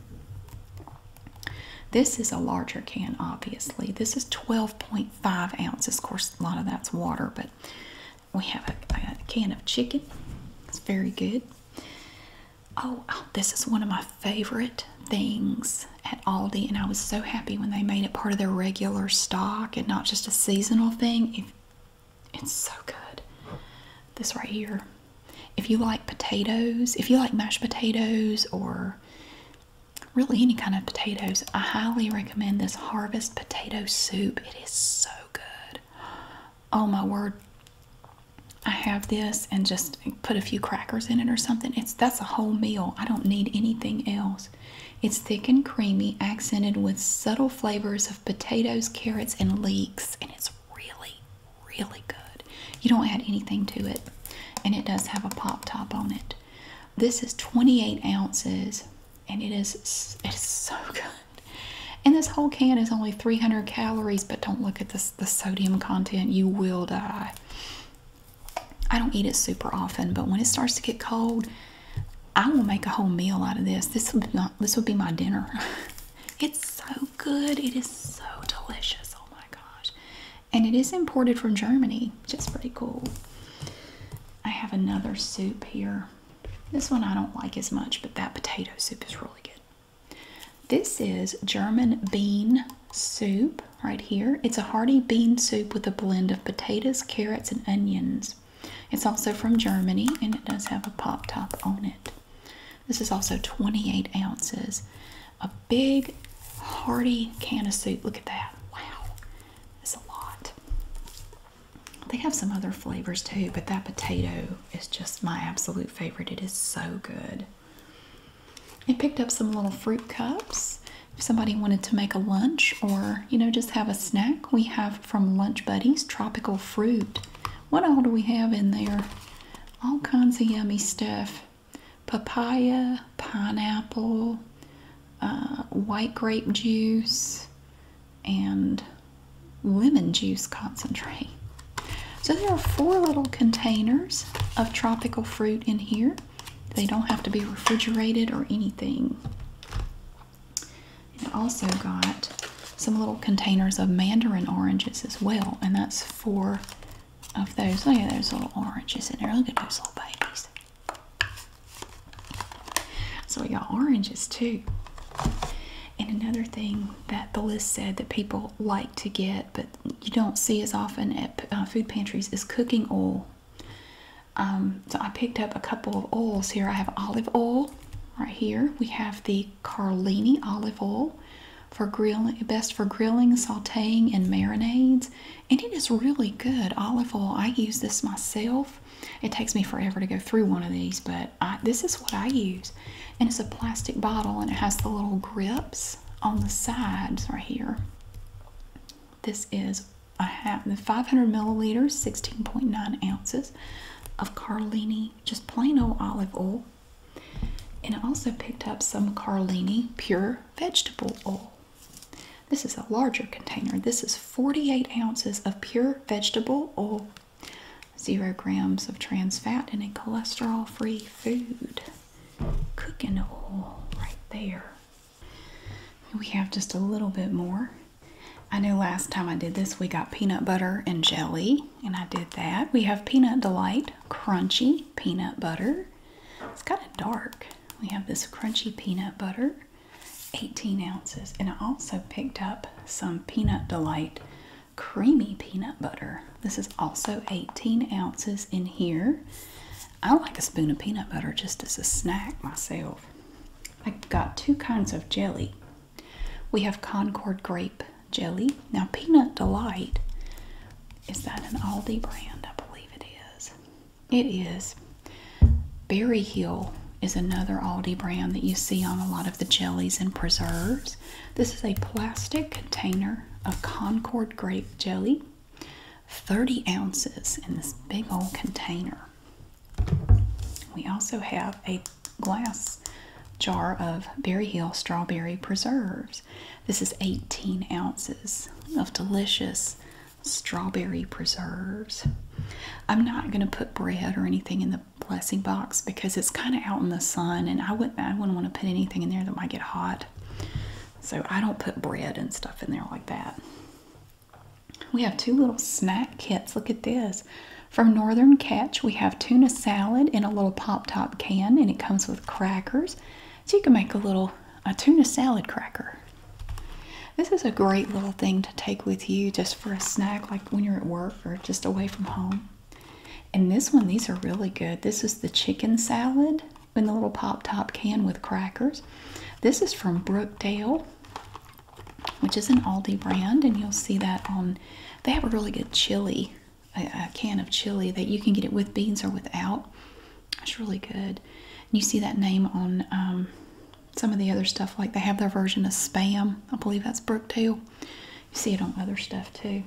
This is a larger can, obviously. This is 12.5 ounces. Of course, a lot of that's water, but we have a, can of chicken. It's very good. Oh, oh, this is one of my favorite things at Aldi, and I was so happy when they made it part of their regular stock and not just a seasonal thing it's so good. This right here. If you like potatoes, if you like mashed potatoes or really any kind of potatoes, I highly recommend this harvest potato soup. It is so good. Oh my word. I have this and just put a few crackers in it or something. It's that's a whole meal. I don't need anything else. It's thick and creamy, accented with subtle flavors of potatoes, carrots, and leeks, and it's really, really good. You don't add anything to it, and it does have a pop top on it. This is 28 ounces, and it is it is so good. And this whole can is only 300 calories, but don't look at the sodium content. You will die. I don't eat it super often, but when it starts to get cold, I will make a whole meal out of this. This would not this would be my dinner. it's so good. It is so delicious. Oh my gosh. And it is imported from Germany, which is pretty cool. I have another soup here. This one I don't like as much, but that potato soup is really good. This is German bean soup right here. It's a hearty bean soup with a blend of potatoes, carrots, and onions. It's also from Germany and it does have a pop top on it. This is also 28 ounces. A big, hearty can of soup. Look at that. Wow. It's a lot. They have some other flavors too, but that potato is just my absolute favorite. It is so good. I picked up some little fruit cups. If somebody wanted to make a lunch or, you know, just have a snack, we have from Lunch Buddies tropical fruit. What all do we have in there? All kinds of yummy stuff papaya, pineapple, uh, white grape juice, and lemon juice concentrate. So there are four little containers of tropical fruit in here. They don't have to be refrigerated or anything. I also got some little containers of mandarin oranges as well, and that's four of those. Look at those little oranges in there. Look at those little babies. So we got oranges too. And another thing that the list said that people like to get, but you don't see as often at uh, food pantries, is cooking oil um, so I picked up a couple of oils here. I have olive oil right here. We have the Carlini olive oil for grilling, best for grilling, sauteing, and marinades. And it is really good olive oil. I use this myself. It takes me forever to go through one of these, but this is what I use. And it's a plastic bottle and it has the little grips on the sides right here. This is I have the 500 milliliters, 16.9 ounces of Carlini, just plain old olive oil. And I also picked up some Carlini pure vegetable oil. This is a larger container. This is 48 ounces of pure vegetable oil, zero grams of trans fat, and a cholesterol free food. Cooking oil right there. We have just a little bit more. I knew last time I did this, we got peanut butter and jelly, and I did that. We have Peanut Delight Crunchy Peanut Butter. It's kind of dark. We have this crunchy peanut butter, 18 ounces. And I also picked up some Peanut Delight Creamy Peanut Butter. This is also 18 ounces in here. I like a spoon of peanut butter just as a snack myself. I have got two kinds of jelly. We have Concord grape jelly. Now, Peanut Delight is that an Aldi brand? I believe it is. It is. Berry Hill is another Aldi brand that you see on a lot of the jellies and preserves. This is a plastic container of Concord grape jelly, 30 ounces in this big old container. We also have a glass jar of Berry Hill strawberry preserves. This is 18 ounces of delicious strawberry preserves. I'm not going to put bread or anything in the blessing box because it's kind of out in the sun and I wouldn't want to put anything in there that might get hot. So I don't put bread and stuff in there like that. We have two little snack kits. Look at this. From Northern Catch, we have tuna salad in a little pop top can, and it comes with crackers. So you can make a little a tuna salad cracker. This is a great little thing to take with you just for a snack, like when you're at work or just away from home. And this one, these are really good. This is the chicken salad in the little pop top can with crackers. This is from Brookdale which is an Aldi brand, and you'll see that on. They have a really good chili, a, can of chili that you can get it with beans or without. It's really good. And you see that name on um, some of the other stuff, like they have their version of Spam. I believe that's Brookdale. You see it on other stuff too.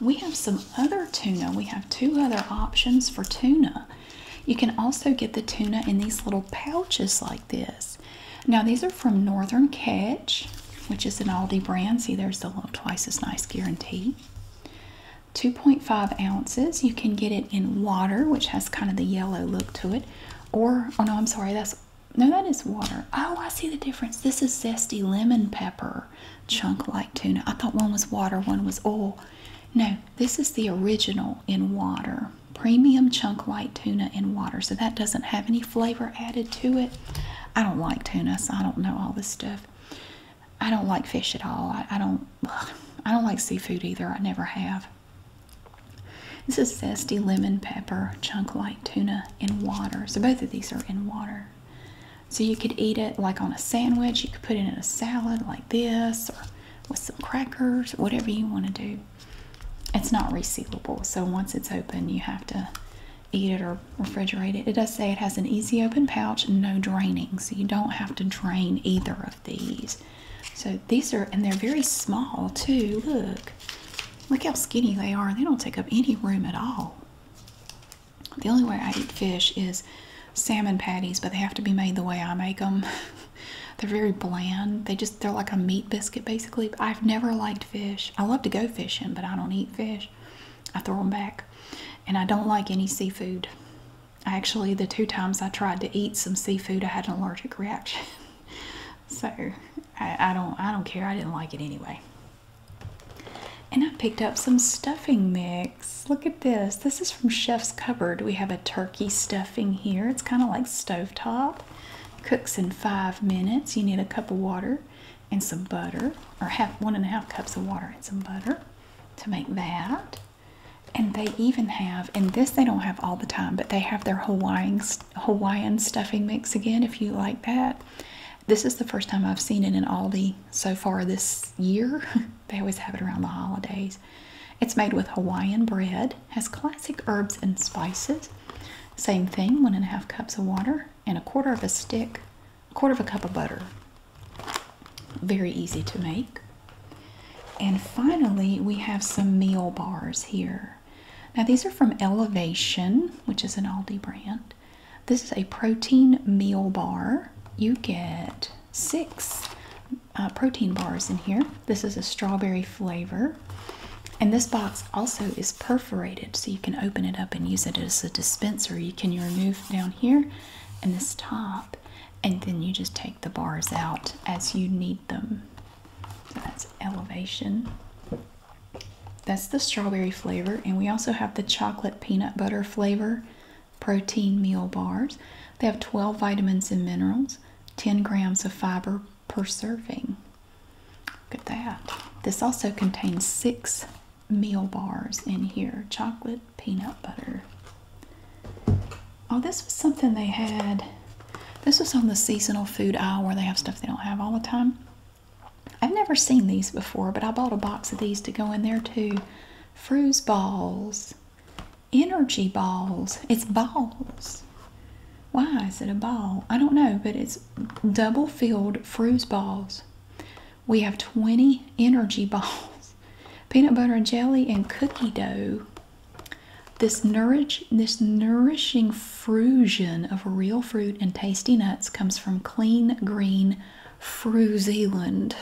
We have some other tuna. We have two other options for tuna. You can also get the tuna in these little pouches like this. Now, these are from Northern Catch, which is an Aldi brand. See, there's the little twice as nice guarantee. 2.5 ounces. You can get it in water, which has kind of the yellow look to it. Or, oh no, I'm sorry, that's no, that is water. Oh, I see the difference. This is zesty lemon pepper chunk like tuna. I thought one was water, one was oil. No, this is the original in water premium chunk light tuna in water. So that doesn't have any flavor added to it. I don't like tuna, so I don't know all this stuff. I don't like fish at all. I, don't. I don't like seafood either. I never have. This is zesty lemon pepper chunk light tuna in water. So both of these are in water. So you could eat it like on a sandwich. You could put it in a salad like this, or with some crackers, whatever you want to do it's not resealable, so once it's open, you have to eat it or refrigerate it. It does say it has an easy open pouch, no draining, so you don't have to drain either of these. So these are, and they're very small too. Look, look how skinny they are. They don't take up any room at all. The only way I eat fish is salmon patties, but they have to be made the way I make them. They're very bland. They just they're like a meat biscuit basically. I've never liked fish. I love to go fishing, but I don't eat fish. I throw them back. And I don't like any seafood. actually the two times I tried to eat some seafood, I had an allergic reaction. so I, I don't I don't care. I didn't like it anyway. And I picked up some stuffing mix. Look at this. This is from Chef's Cupboard. We have a turkey stuffing here. It's kind of like stovetop. Cooks in five minutes. You need a cup of water and some butter, or half one and a half cups of water and some butter to make that. And they even have, and this they don't have all the time, but they have their Hawaiian Hawaiian stuffing mix again. If you like that, this is the first time I've seen it in Aldi so far this year. they always have it around the holidays. It's made with Hawaiian bread has classic herbs and spices. Same thing, one and a half cups of water and a quarter of a stick, a quarter of a cup of butter. Very easy to make. And finally, we have some meal bars here. Now, these are from Elevation, which is an Aldi brand. This is a protein meal bar. You get six uh, protein bars in here. This is a strawberry flavor. And this box also is perforated, so you can open it up and use it as a dispenser. You can remove down here and this top, and then you just take the bars out as you need them. So that's elevation. That's the strawberry flavor, and we also have the chocolate peanut butter flavor protein meal bars. They have 12 vitamins and minerals, 10 grams of fiber per serving. Look at that. This also contains six meal bars in here chocolate, peanut butter. Oh, this was something they had. This was on the seasonal food aisle where they have stuff they don't have all the time. I've never seen these before, but I bought a box of these to go in there too. Fruze balls, energy balls. It's balls. Why is it a ball? I don't know, but it's double filled fruit balls. We have 20 energy balls, peanut butter and jelly, and cookie dough. This nourish, this nourishing fusion of real fruit and tasty nuts comes from clean green Fru New Zealand.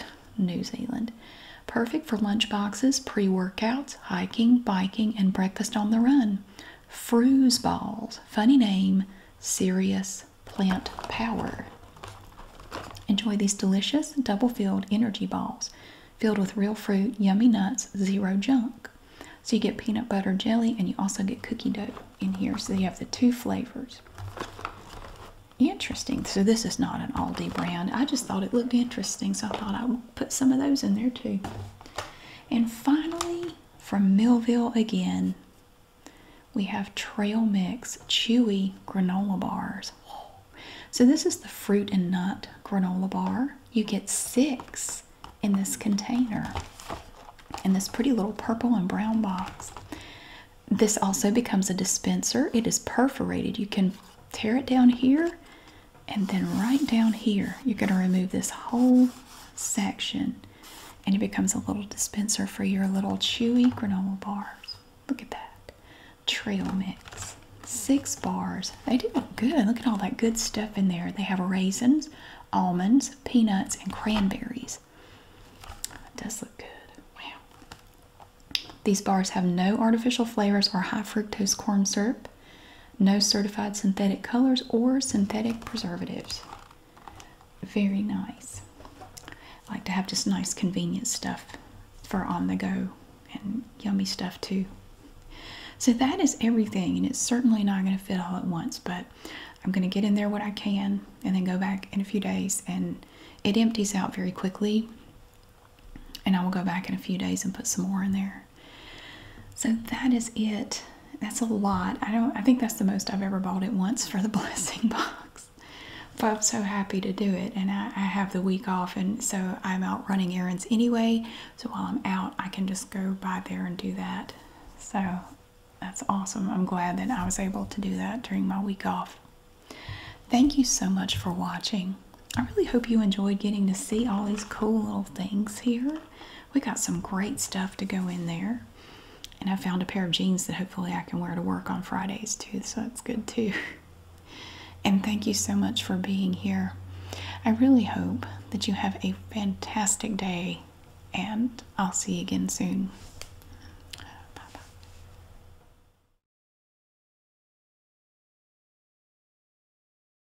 Perfect for lunchboxes, pre-workouts, hiking, biking, and breakfast on the run. Fruze balls, funny name, serious plant power. Enjoy these delicious double filled energy balls filled with real fruit, yummy nuts, zero junk. So you get peanut butter jelly and you also get cookie dough in here. So you have the two flavors. Interesting. So this is not an Aldi brand. I just thought it looked interesting. So I thought I would put some of those in there too. And finally, from Millville again, we have Trail Mix Chewy Granola Bars. So, this is the fruit and nut granola bar. You get six in this container, in this pretty little purple and brown box. This also becomes a dispenser. It is perforated. You can tear it down here and then right down here you're going to remove this whole section and it becomes a little dispenser for your little chewy granola bars look at that trail mix six bars they do look good look at all that good stuff in there they have raisins almonds peanuts and cranberries it does look good wow these bars have no artificial flavors or high fructose corn syrup no certified synthetic colors or synthetic preservatives. Very nice. like to have just nice convenient stuff for on the go and yummy stuff too. So that is everything and it's certainly not going to fit all at once but I'm going to get in there what I can and then go back in a few days and it empties out very quickly and I will go back in a few days and put some more in there so that is it. That's a lot. I don't I think that's the most I've ever bought at once for the blessing box. But I'm so happy to do it and I have the week off and so I'm out running errands anyway. So while I'm out I can just go by there and do that. So that's awesome. I'm glad that I was able to do that during my week off. Thank you so much for watching. I really hope you enjoyed getting to see all these cool little things here we got some great stuff to go in there. And I found a pair of jeans that hopefully I can wear to work on Fridays too, so that's good too. And thank you so much for being here. I really hope that you have a fantastic day, and I'll see you again soon. Bye bye.